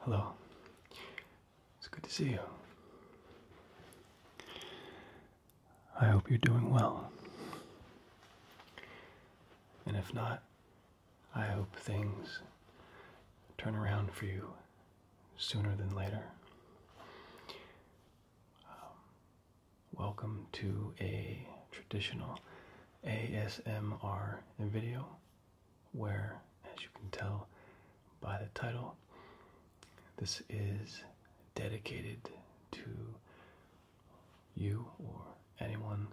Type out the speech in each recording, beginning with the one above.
Hello. It's good to see you. I hope you're doing well. And if not, I hope things turn around for you sooner than later. Um, welcome to a traditional ASMR video, where, as you can tell by the title, this is dedicated to you or anyone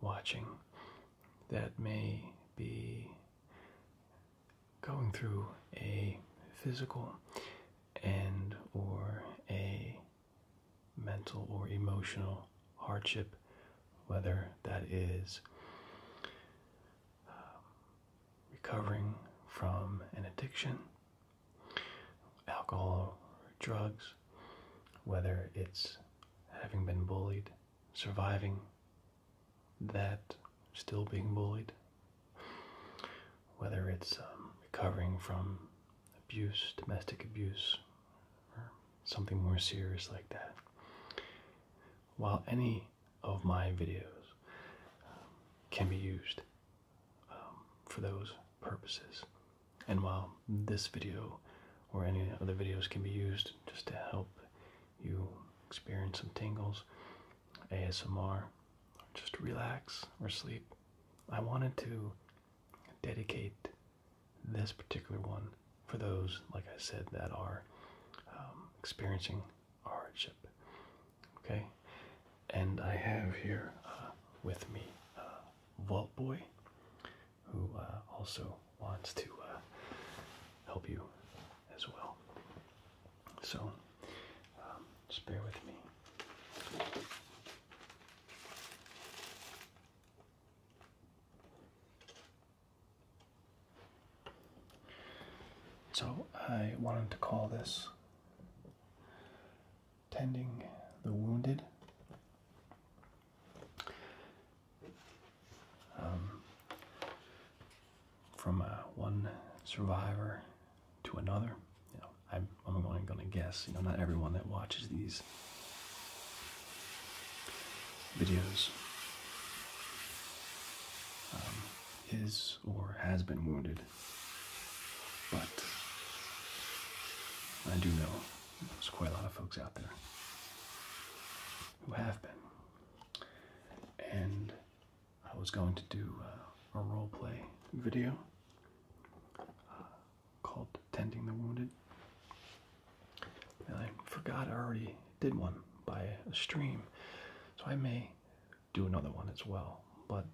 watching that may be going through a physical and or a mental or emotional hardship, whether that is um, recovering from an addiction, alcohol or drugs, whether it's having been bullied, surviving that, still being bullied, whether it's um, recovering from abuse, domestic abuse, something more serious like that. While any of my videos um, can be used um, for those purposes, and while this video or any other videos can be used just to help you experience some tingles, ASMR, or just relax or sleep, I wanted to dedicate this particular one for those, like I said, that are um, experiencing hardship. Okay, and I have here uh, with me uh, Vault Boy, who uh, also wants to uh, help you as well. So, um, just bear with me. So I wanted to call this Tending the Wounded. Um, from uh, one survivor to another, you know, I'm, i going, going to guess, you know, not everyone that watches these videos. Um, his or has been wounded, but I do know there's quite a lot of folks out there who have been. And I was going to do uh, a role play video. Uh, called Tending the Wounded. And I forgot I already did one by a stream, so I may do another one as well. But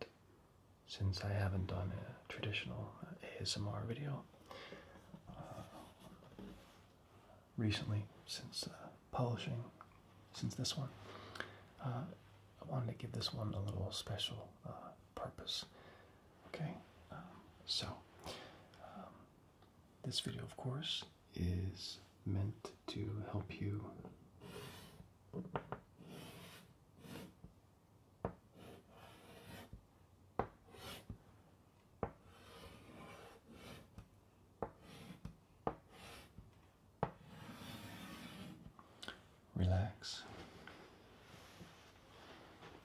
since I haven't done a traditional ASMR video uh, recently, since uh, publishing, since this one, uh, I wanted to give this one a little special purpose. Okay, um, so um, this video, of course, is meant to help you. Relax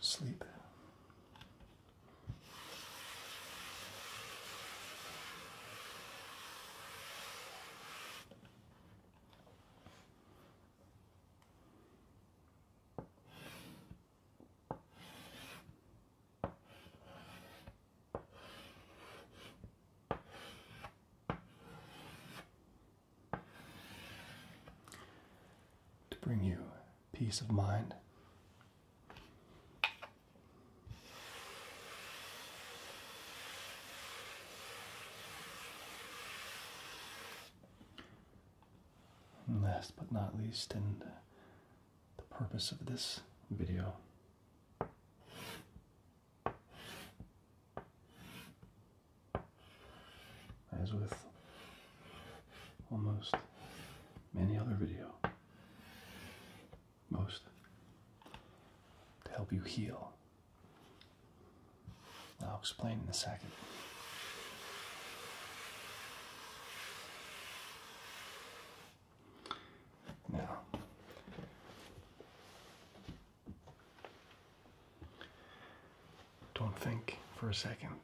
sleep. To bring you peace of mind. last but not least, and the purpose of this video. As with almost any other video. Most to help you heal. I'll explain in a second. Now, don't think for a second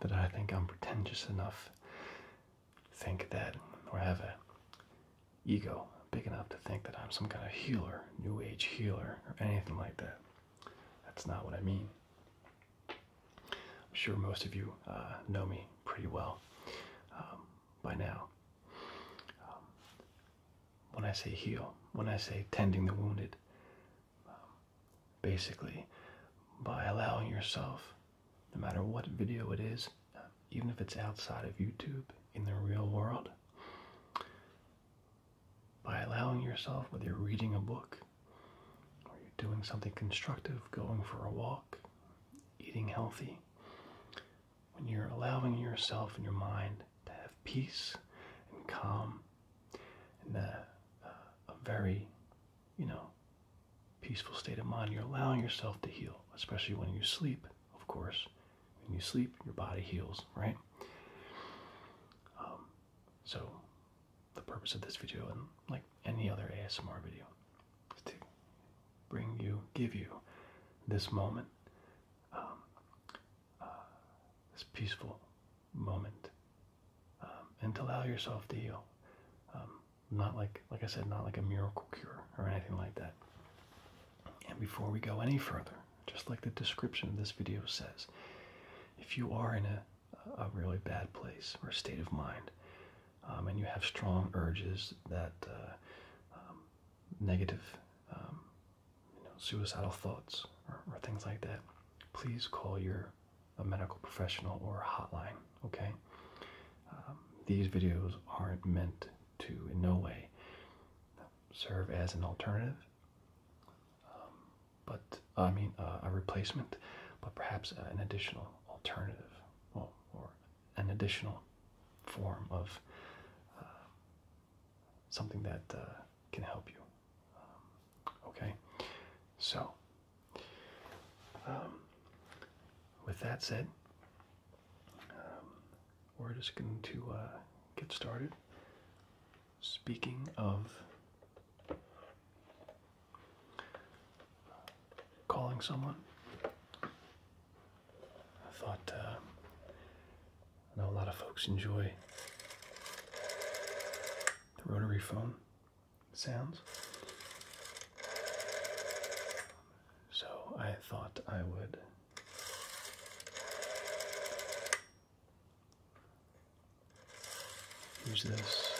that I think I'm pretentious enough, think that, or have a ego big enough to think that I'm some kind of healer, new age healer, or anything like that. That's not what I mean. I'm sure most of you uh, know me pretty well um, by now. Um, when I say heal, when I say tending the wounded, um, basically by allowing yourself, no matter what video it is, uh, even if it's outside of YouTube in the real world, by allowing yourself, whether you're reading a book or you're doing something constructive, going for a walk, eating healthy, when you're allowing yourself and your mind to have peace and calm and a very you know, peaceful state of mind. You're allowing yourself to heal, especially when you sleep, of course. When you sleep, your body heals, right? Um, so, the purpose of this video, and like any other ASMR video, is to bring you, give you this moment, um, uh, this peaceful moment um, and to allow yourself to heal. Um, not like, like I said, not like a miracle cure or anything like that. And before we go any further, just like the description of this video says, if you are in a, a really bad place or state of mind, um, and you have strong urges that uh, negative, you know, suicidal thoughts or things like that, please call your a medical professional or hotline, okay? Um, these videos aren't meant to, in no way, serve as an alternative, um, but I mean, a replacement, but perhaps an additional alternative or an additional form of uh, something that uh, can help you. Um, okay, so um, with that said, um, we're just going to uh, get started. Speaking of calling someone, I thought uh, I know a lot of folks enjoy the rotary phone sounds. So I thought I would use this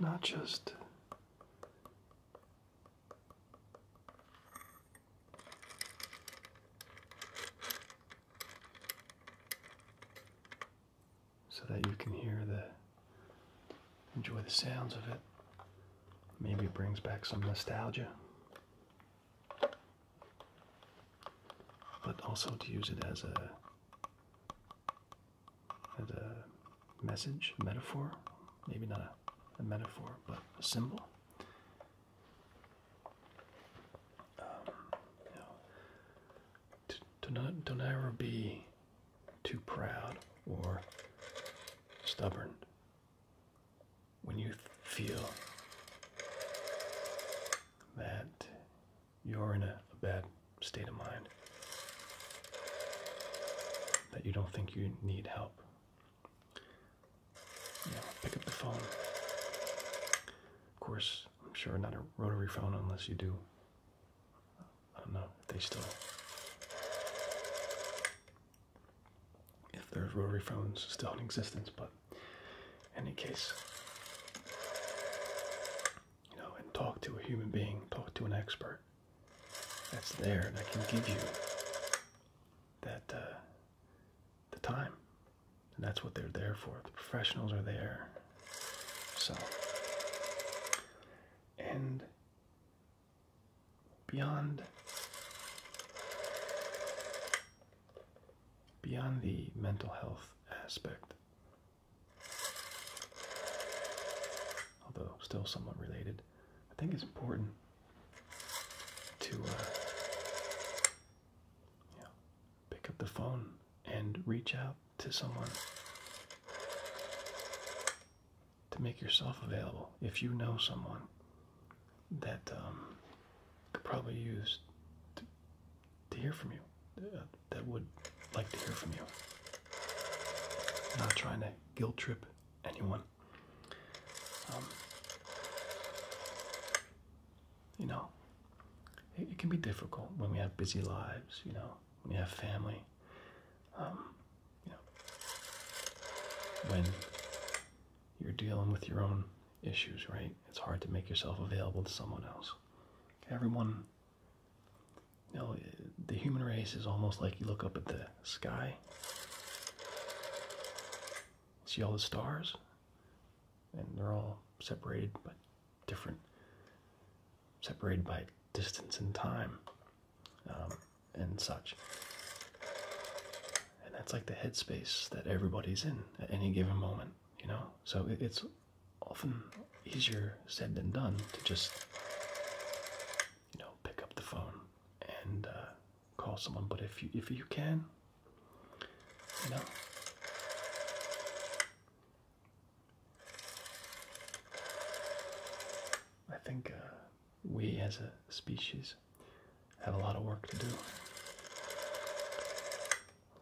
not just so that you can hear the enjoy the sounds of it. Maybe it brings back some nostalgia. But also to use it as a as a message, metaphor, maybe not a metaphor, but a symbol do um, not don't ever be too proud or stubborn when you feel that you're in a bad state of mind that you don't think you need help pick up the phone. Of course, I'm sure not a rotary phone unless you do. I don't know if they still. If there's rotary phones still in existence, but in any case, you know, and talk to a human being, talk to an expert that's there that can give you that uh, the time. And that's what they're there for. The professionals are there. So, and beyond beyond the mental health aspect, although still somewhat related, I think it's important to uh, you pick up the phone and reach out to someone to make yourself available. If you know someone that um, could probably use to, hear from you, uh, that would like to hear from you. not trying to guilt trip anyone. Um, you know, it, can be difficult when we have busy lives, you know, when you have family, um, you know, when you're dealing with your own issues, right? It's hard to make yourself available to someone else. Everyone, you know, the human race is almost like you look up at the sky, see all the stars, and they're all separated but different, separated by distance and time um, and such. And that's like the headspace that everybody's in at any given moment, you know? So it's often easier said than done to just, you know, pick up the phone and uh, call someone, but if you if you can, you know. I think uh, we as a species have a lot of work to do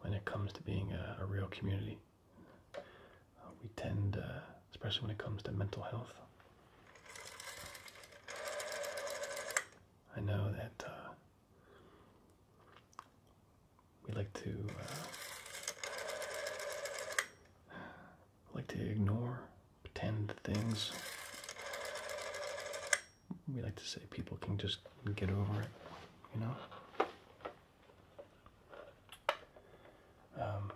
when it comes to being a, real community. Uh, we tend, uh, especially when it comes to mental health. I know that we like to uh, like to ignore, pretend things. We like to say people can just get over it, you know. Um,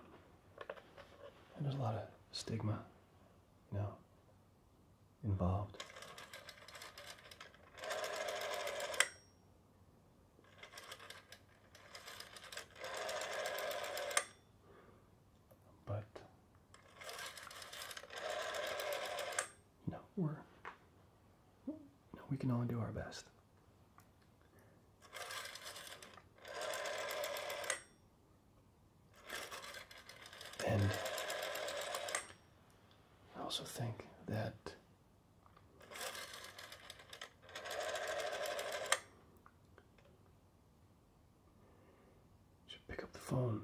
there's a lot of stigma, you know involved. But you we're we can all do our best. And I also think that you should pick up the phone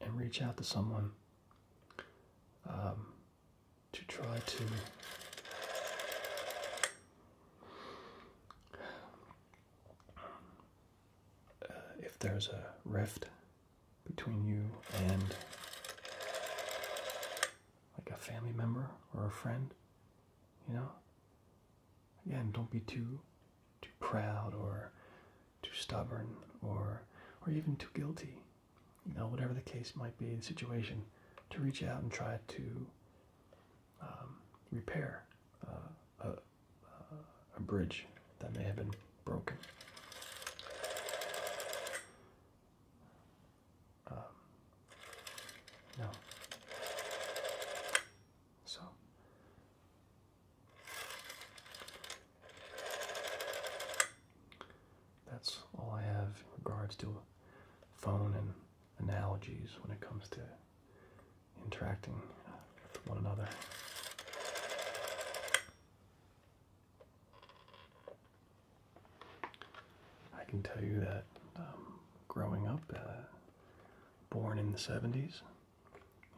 and reach out to someone um, to try to if there's a rift between you and like a family member or a friend, you know? Again, don't be too too proud or too stubborn or or even too guilty. You know, whatever the case might be, the situation, to reach out and try to um, repair uh, a bridge that may have been broken. Um, no. So. That's all I have in regards to phone and analogies when it comes to interacting uh, with one another. I can tell you that um, growing up, uh, born in the 70s,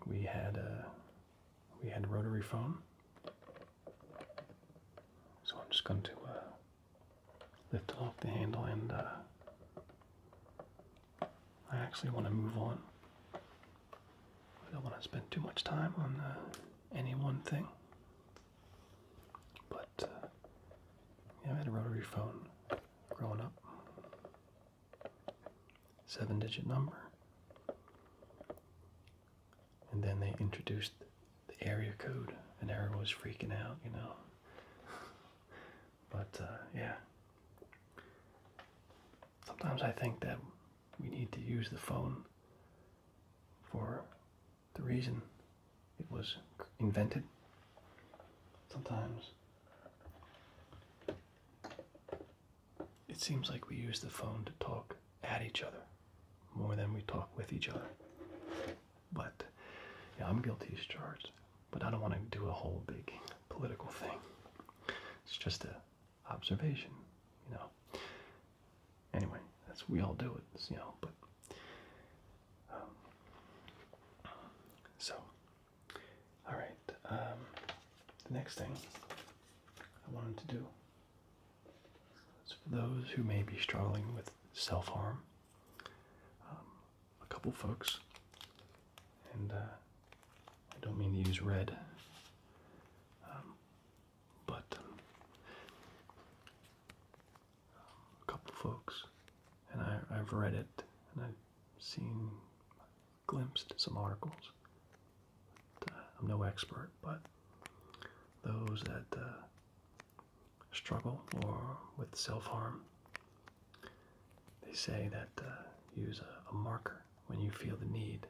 we had a uh, we had rotary phone. So I'm just going to uh, lift off the handle and uh, I actually want to move on I don't want to spend too much time on uh, any one thing. But uh, yeah, I had a rotary phone growing up. Seven digit number. And then they introduced the area code, and everyone was freaking out, you know. but uh, yeah. Sometimes I think that we need to use the phone for the reason it was invented. Sometimes it seems like we use the phone to talk at each other more than we talk with each other. But yeah, I'm guilty as charged. But I don't want to do a whole big political thing. It's just a observation, you know. Anyway, that's we all do it, you know. But um, so, all right. Um, the next thing I wanted to do is for those who may be struggling with self harm. Um, a couple folks, and uh, I don't mean to use red um, but um, a couple folks, and I, have read it, and I've seen, glimpsed some articles. Uh, I'm no expert, but those that uh, struggle or with self-harm, they say that uh, use a marker when you feel the need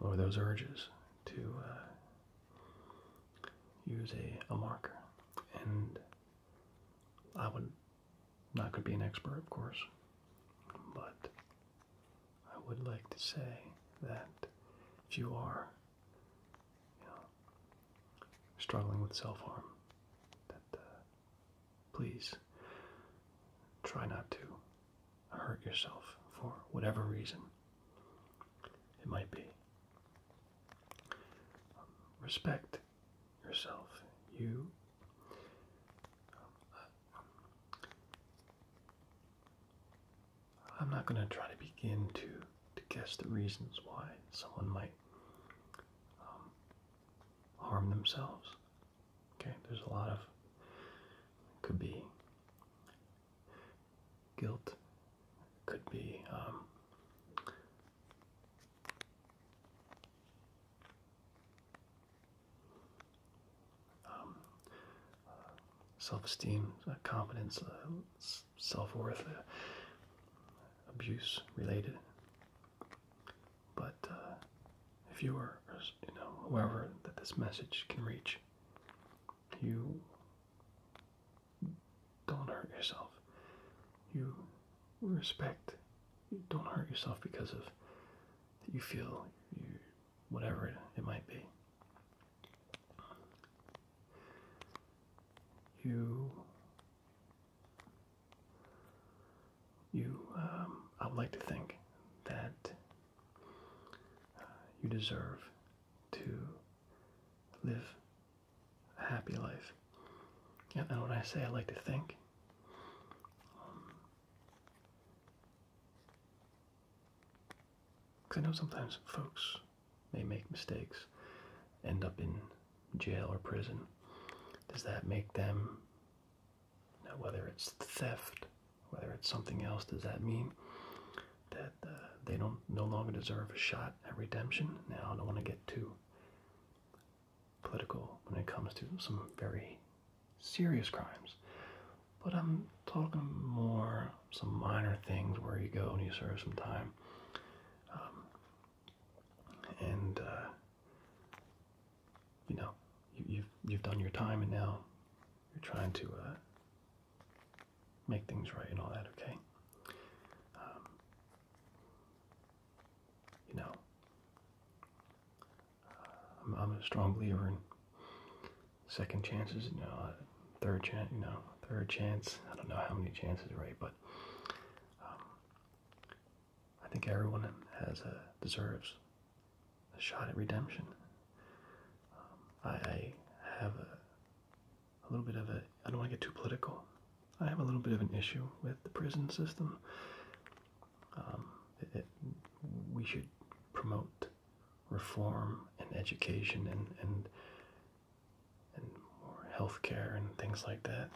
lower those urges to uh, use a, a marker. And I would not could be an expert, of course, but I would like to say that if you are struggling with self harm, that uh, Please try not to hurt yourself for whatever reason it might be. Um, respect yourself. You. Um, I'm not going to try to begin to, to guess the reasons why someone might um, harm themselves. Okay, there's a lot of could be guilt, could be um, um, self-esteem, uh, confidence, uh, self-worth, uh, abuse related. But uh, if you are, you know, whoever that this message can reach, you don't hurt yourself. You respect. don't hurt yourself because of you feel you whatever it, it might be. You you, um, I'd like to think that uh, you deserve to live a happy life. And, and when I say I like to think, because um, I know sometimes folks may make mistakes, end up in jail or prison. Does that make them now, whether it's theft, whether it's something else, does that mean that uh, they don't no longer deserve a shot at redemption? Now, I don't want to get too political when it comes to some very serious crimes, but I'm talking more some minor things where you go and you serve some time, um, and uh, you know, you, have you've done your time, and now you're trying to uh, make things right and all that. Okay. Um, you know, uh, I'm, a strong believer in second chances. No, uh, third chance. No, third chance. I don't know how many chances, right? But um, I think everyone has deserves a shot at redemption. Um, I, have a, little bit of a, I don't want to get too political. I have a little bit of an issue with the prison system. Um, we should promote reform and education and, and, and more health care and things like that.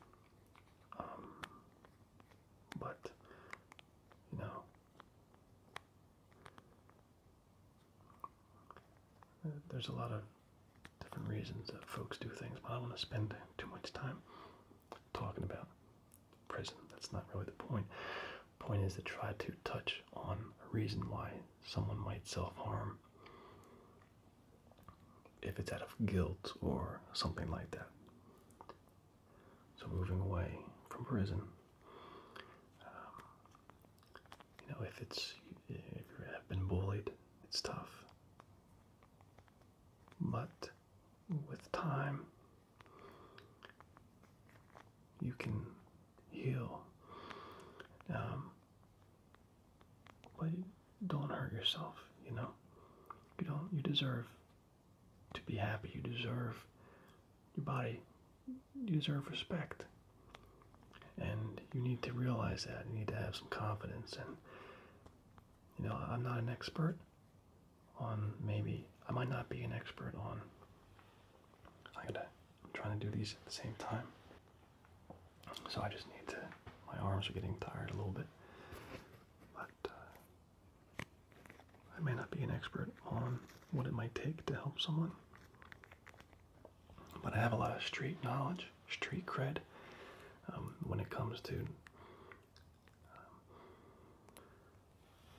Um, but you know there's a lot of different reasons that folks do things, but I don't want to spend too much time talking about prison. That's not really the point. The point is to try to touch on a reason why someone might self harm if it's out of guilt or something like that. So moving away from prison, um, you know, if it's if you have been bullied, it's tough. But with time, you can heal. Um, but don't hurt yourself. You know, you don't. You deserve to be happy. You deserve your body, you deserve respect. And you need to realize that. You need to have some confidence. And, you know, I'm not an expert on maybe, I might not be an expert on, I am trying to do these at the same time. So I just need to, my arms are getting tired a little bit. But, uh, I may not be an expert on what it might take to help someone, but I have a lot of street knowledge, street cred um, when it comes to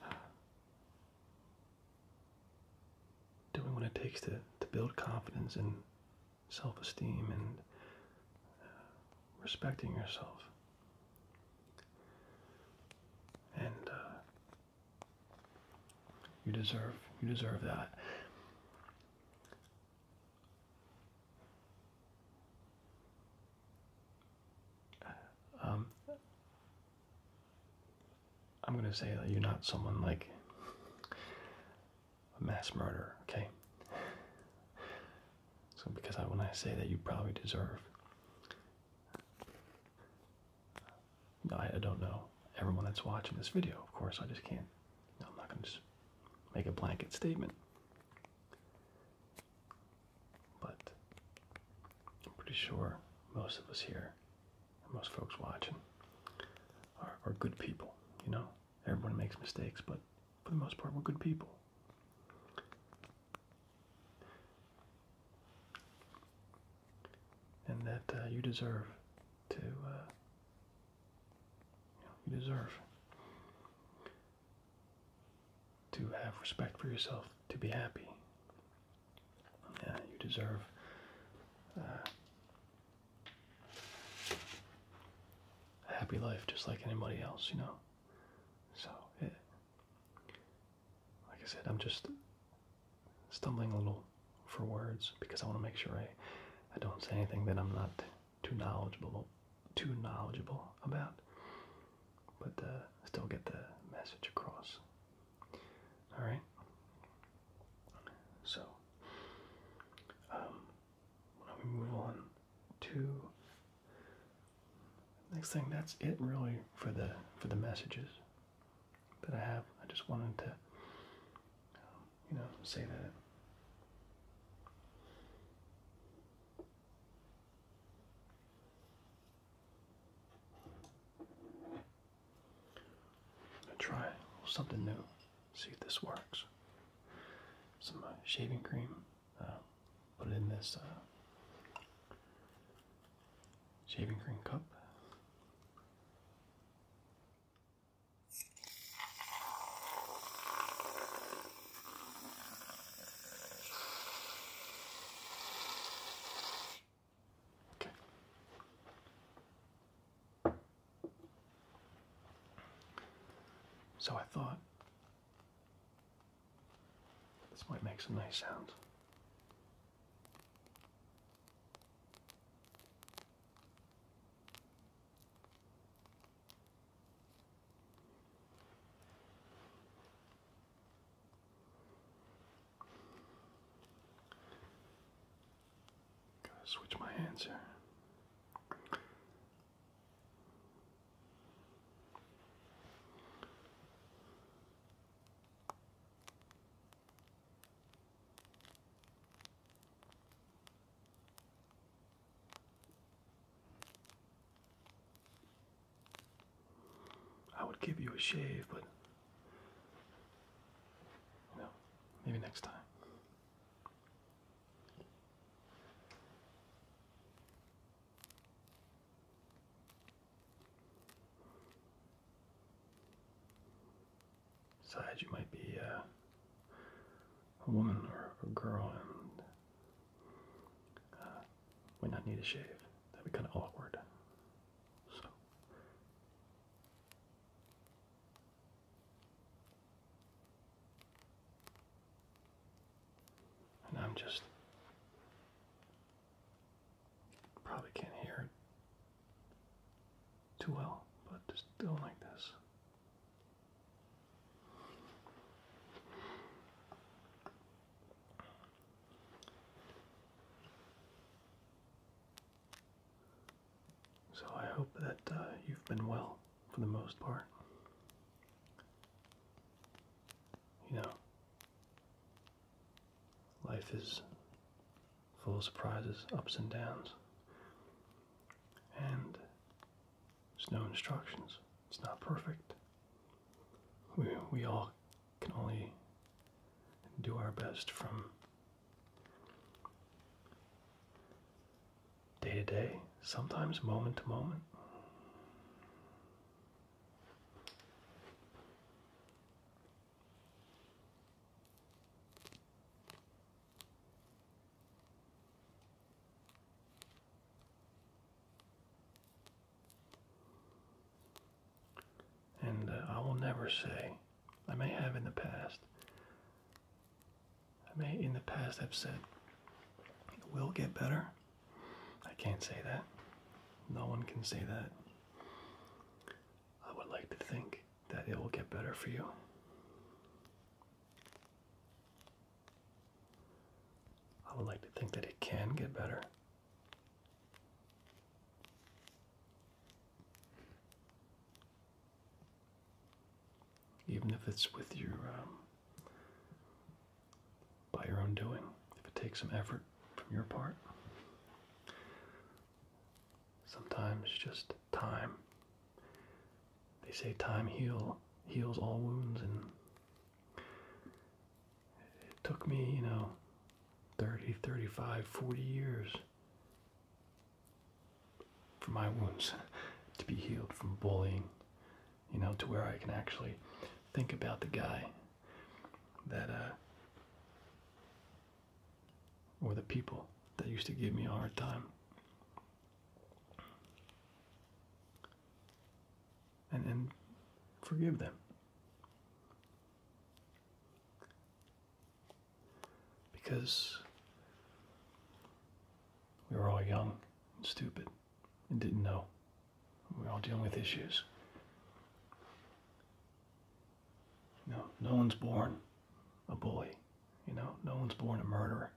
um, doing what it takes to, to build confidence and self esteem and uh, respecting yourself. And uh, you deserve you deserve that. Um, I'm gonna say that you're not someone like a mass murderer, okay? So because I when I say that you probably deserve I, I don't know. Everyone that's watching this video, of course, I just can't. No, I'm not i am not going to just make a blanket statement. But I'm pretty sure most of us here, most folks watching, are, are good people. You know, everyone makes mistakes, but for the most part, we're good people and that uh, you deserve to, uh, you, deserve to have respect for yourself, to be happy. Uh, you deserve uh, a happy life just like anybody else, you know. So like I said, I'm just stumbling a little for words because I want to make sure I, I don't say anything that I'm not too knowledgeable too knowledgeable about, but uh, still get the message across. All right. So um, we move on to Next thing, that's it really for the for the messages that I have. I just wanted to, you know, say that. i try something new. See if this works. Some uh, shaving cream put it in this uh, shaving cream cup. Okay. So I thought this might make some nice sounds. Gotta switch my hands here. I would give you a shave, but you know, maybe next time. Besides, you might be uh, a woman or a girl and uh, might not need a shave. That'd be kind of awkward. So. And I'm just probably can't hear it too well, but just don't like this. So I hope that uh, you've been well for the most part you know, life is full of surprises, ups and downs, and there's no instructions. It's not perfect. We, we all can only do our best from day to day, sometimes moment to moment. And uh, I will never say, I may have in the past, I may in the past have said, it will get better. I can't say that. No one can say that. I would like to think that it will get better for you. I would like to think that it can get better. Even if it's with your um, by your own doing. If it takes some effort from your part, sometimes just time. They say time heal heals all wounds, and it took me, you know, 30, 35, 40 years for my wounds to be healed from bullying you know, to where I can actually think about the guy that, uh, or the people that used to give me a hard time. And, and forgive them. Because we were all young and stupid and didn't know. We're all dealing with issues. You no one's born a bully. You know, no one's born a murderer.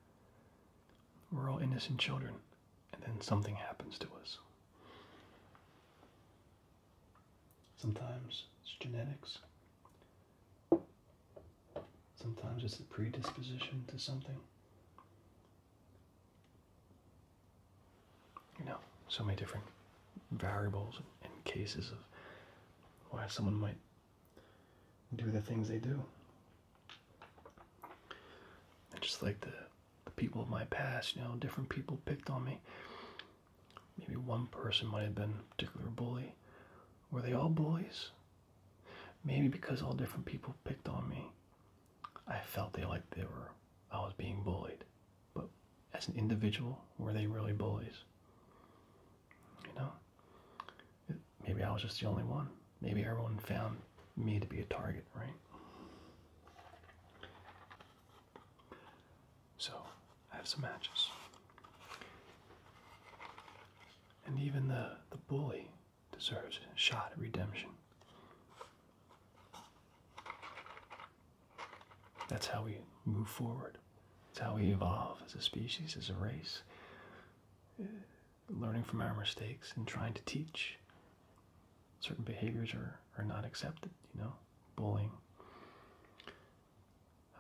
We're all innocent children, and then something happens to us. Sometimes it's genetics. Sometimes it's a predisposition to something you know, so many different variables and cases of why someone might do the things they do. just like the, the people of my past, you know, different people picked on me. Maybe one person might have been a particular bully. Were they all bullies? Maybe because all different people picked on me, I felt they like they were I was being bullied. But as an individual, were they really bullies? You know? Maybe I was just the only one. Maybe everyone found me to be a target, right? So, I have some matches. And even the, the bully deserves a shot at redemption. That's how we move forward. It's how we evolve as a species, as a race, uh, learning from our mistakes and trying to teach. Certain behaviors are, are not accepted, you know, bullying,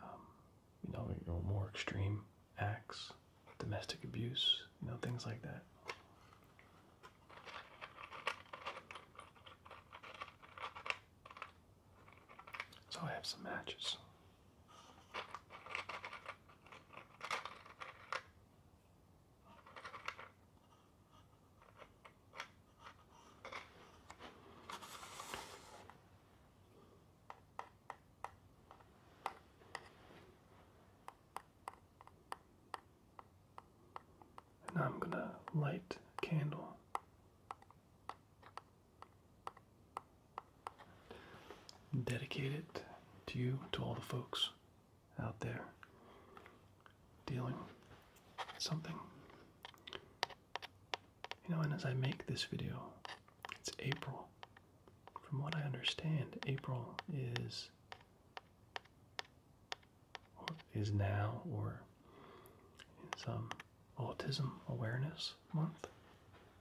um, you know, more extreme acts domestic abuse, you know, things like that. So I have some matches. And I'm gonna light a candle. Dedicate it to you, to all the folks out there dealing with something. You know, and as I make this video, it's April. From what I understand, April is is now or is um, Autism Awareness Month,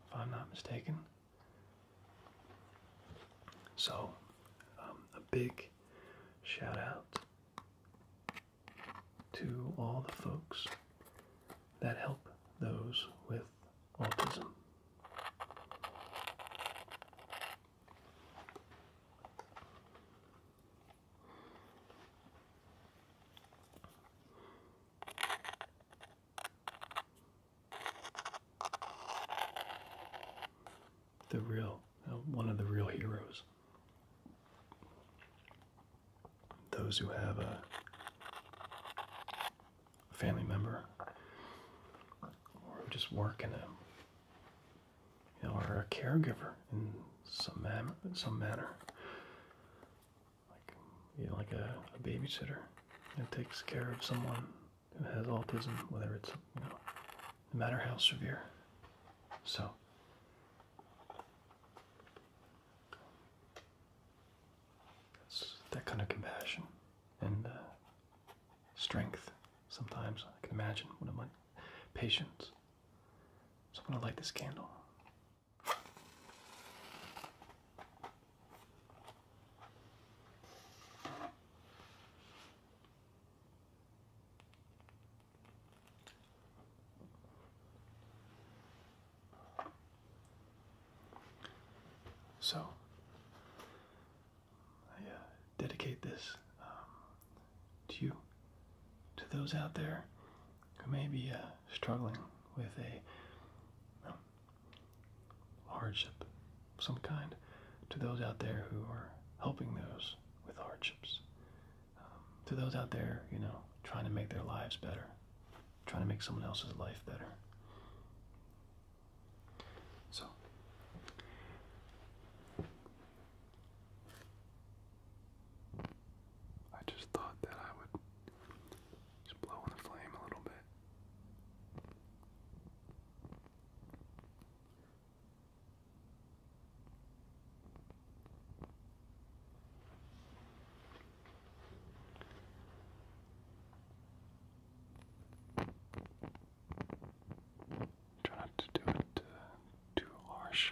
if I'm not mistaken. So, um, a big shout out to all the folks that help those with autism. The real, uh, one of the real heroes. Those who have a family member or just working a you know, or a caregiver in some manner, in some manner, like like a, babysitter that takes care of someone who has autism, whether it's you know, no matter how severe. So. That's that kind of compassion and uh, strength. Sometimes I can imagine one of my patients. So I'm going to light this candle. So, I uh, dedicate this um, to you, to those out there who may be uh, struggling with a um, hardship of some kind, to those out there who are helping those with hardships, um, to those out there, you know, trying to make their lives better, trying to make someone else's life better. So, I just thought that I would just blow the flame a little bit. Try not to do it uh, too harsh.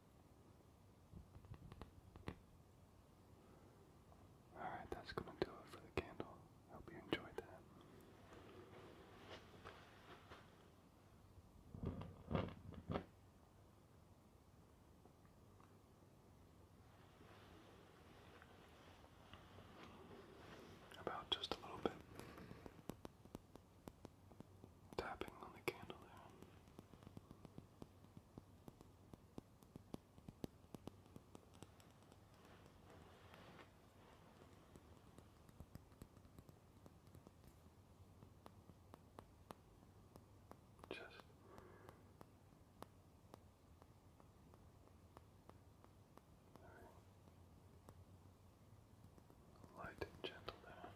Alright, that's going to do it for the candle. I hope you enjoyed that. About just a little bit tapping on the candle there. Just light and gentle down.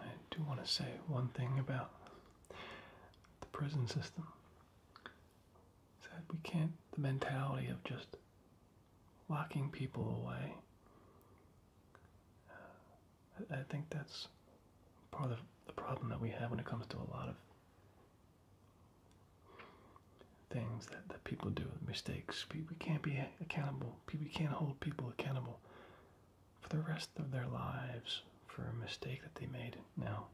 I do want to say one thing about the prison system. Is that we can't, the mentality of just locking people away. Uh, I, think that's part of the problem that we have when it comes to a lot of things that, that people do, mistakes. We can't be accountable. We can't hold people accountable for the rest of their lives for a mistake that they made. Now,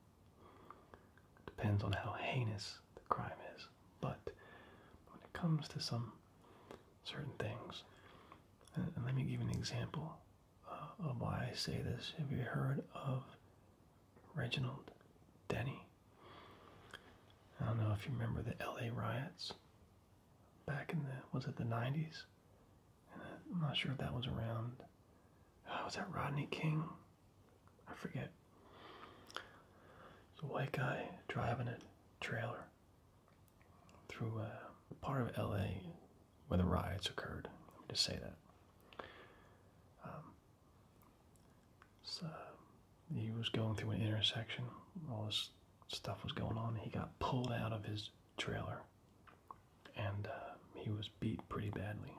depends on how heinous the crime is, but when it comes to some certain things, and, let me give you an example uh, of why I say this. Have you heard of Reginald Denny? I don't know if you remember the LA riots back in the was it the 90s? I'm not sure if that was around. Uh, was that Rodney King? I forget. It's a white guy driving a trailer through uh, part of L.A. where the riots occurred. Let me just say that. Um, so he was going through an intersection. All this stuff was going on. He got pulled out of his trailer and uh, he was beat pretty badly.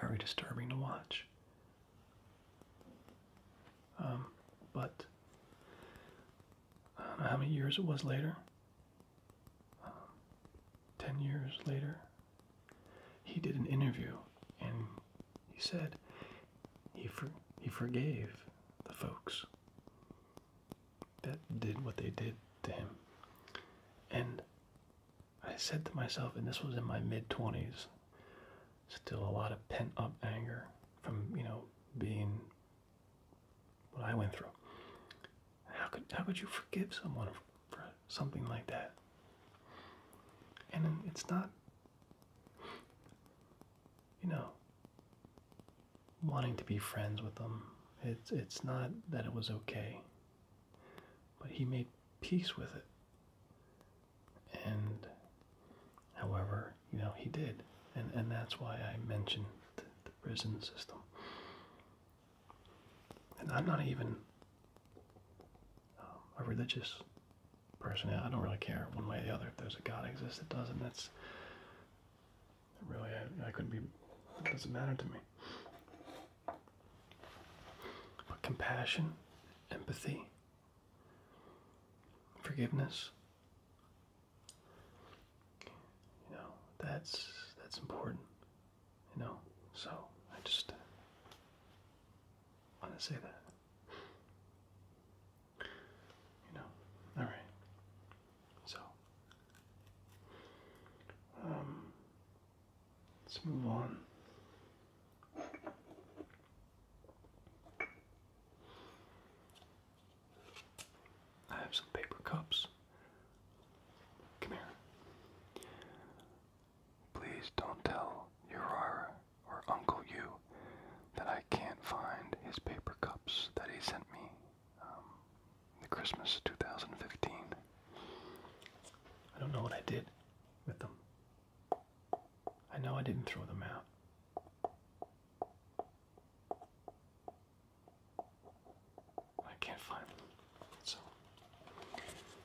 Very disturbing to watch. Um, but I don't know how many years it was later. Um, ten years later, he did an interview and he said he for, he forgave the folks that did what they did to him. And I said to myself, and this was in my mid 20s, still a lot of pent up anger from, you know, being what I went through. How could how could you forgive someone for something like that? And it's not you know, wanting to be friends with them. It's it's not that it was okay, but he made peace with it. And however, you know, he did. And and that's why I mentioned the, prison system. And I'm not even um, a religious Personally, I don't really care one way or the other. If there's a God exists, it doesn't. That's really I, couldn't be. It doesn't matter to me. But compassion, empathy, forgiveness. You know that's that's important. You know, so I just want to say that. You know, all right. So, um, let's move on. I have some paper cups. Come here. Please don't tell Urara or Uncle U that I can't find his paper cups that he sent me um, the Christmas 2015. I don't know what I did with them. I know I didn't throw them out. I can't find them. So,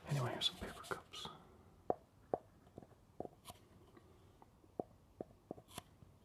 anyway, here's some paper cups.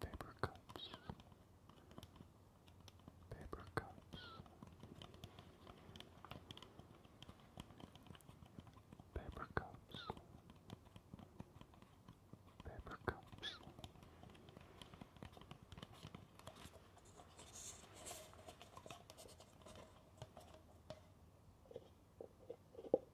paper cups, paper cups, paper cups, paper cups.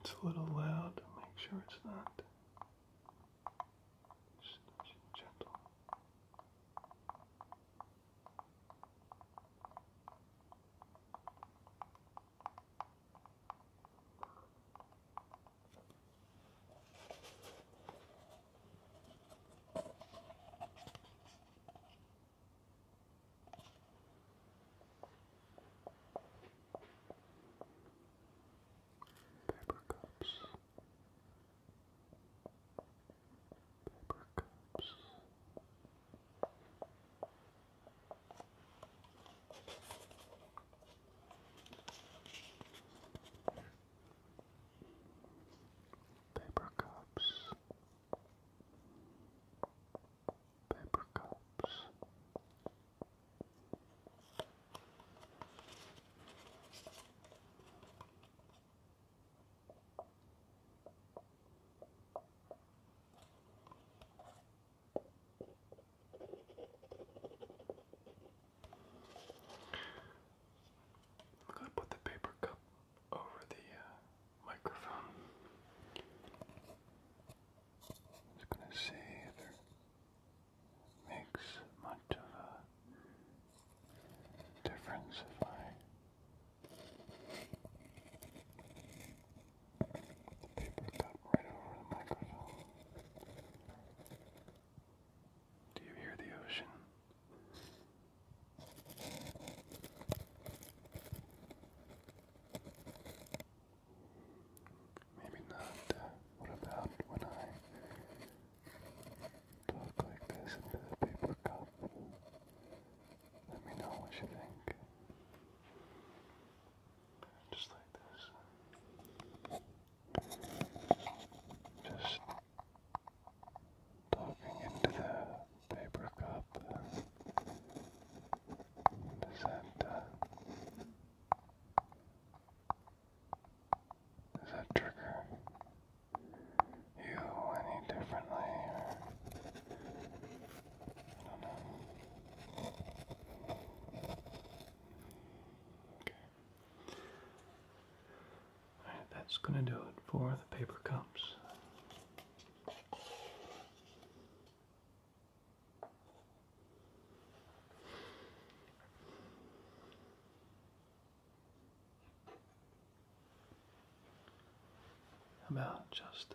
It's a little loud, make sure it's not. Just gentle. Paper cups. Paper cups. Paper cups paper cups. I'm going to put the paper cup over the uh, microphone. Just gonna see if it makes much of a difference if I the paper cup right over the microphone. Do you hear the ocean? Maybe not. What about when I talk like this into the paper cup? Let me know what you think. Just like this. Just talking into the paper cup. Does that, that trigger you any differently? I don't know. Okay. that's going to do it for the paper cups about just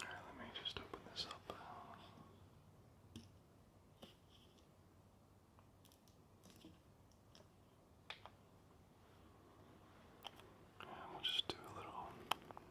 All right, let me just open this up. And we'll just do a little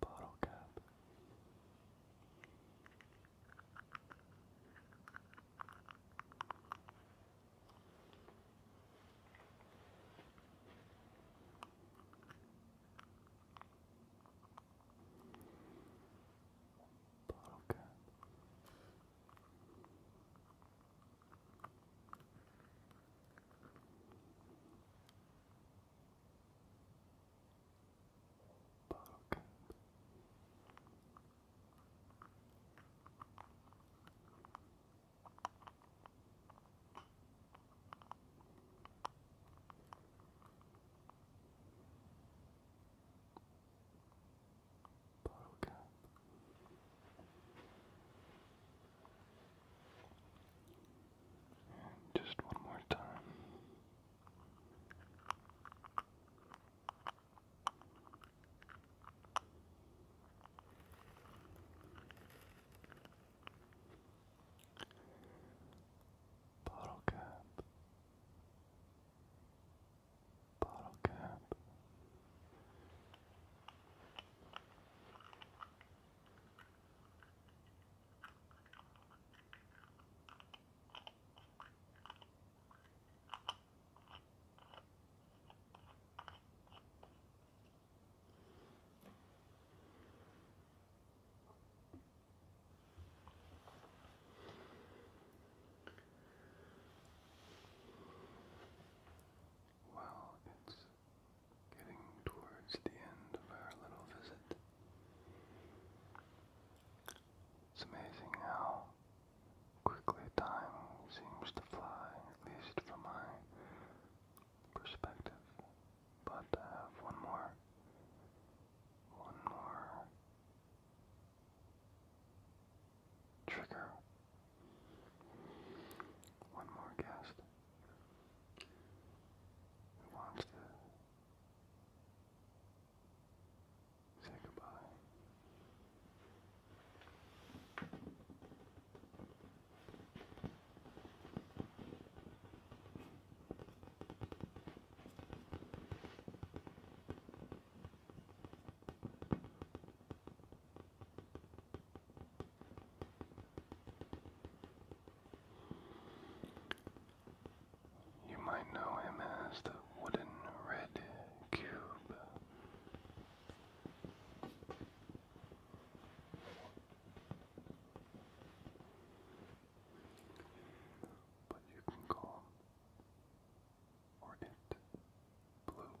bottle cap. Bottle cap. Bug. Bottle just one more time. Bottle cap, bottle cap. Well, it's getting towards the end of our little visit. It's amazing how quickly time seems to fly, at least from my perspective. But I have one more, one more trigger, one more guest who wants to Say goodbye. You might know him as the Wooden Red Cube. But you can call him or blue.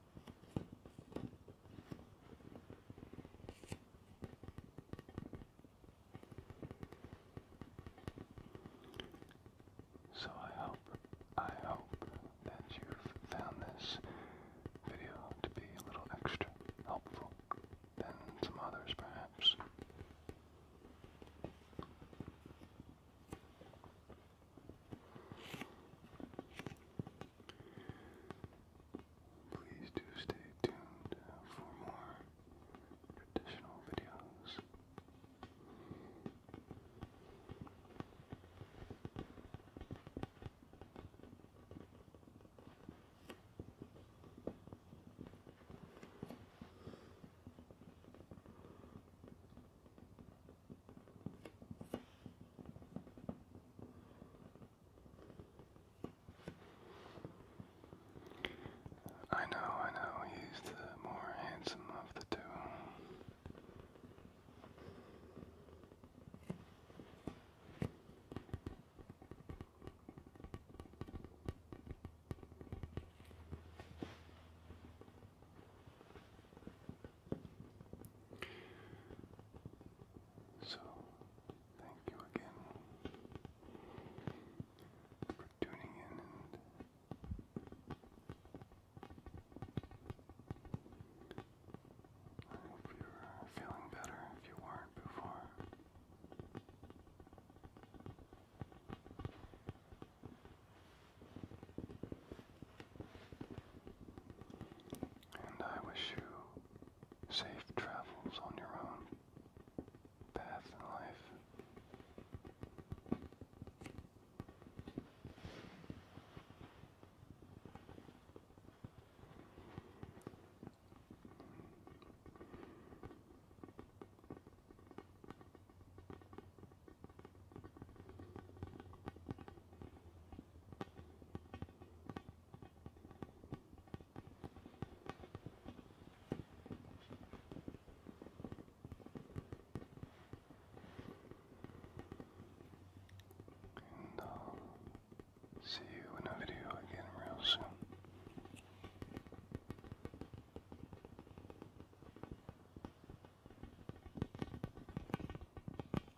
So I hope, I hope that you found this video to be a little extra helpful than some others perhaps. Please do stay tuned uh, for more traditional videos. I know, I know, he's the more handsome of the two. So, thank you again for tuning in I hope you're feeling better if you weren't before. And I wish you Safe travels on your own path in life. And I'll uh, see you in a video again real soon.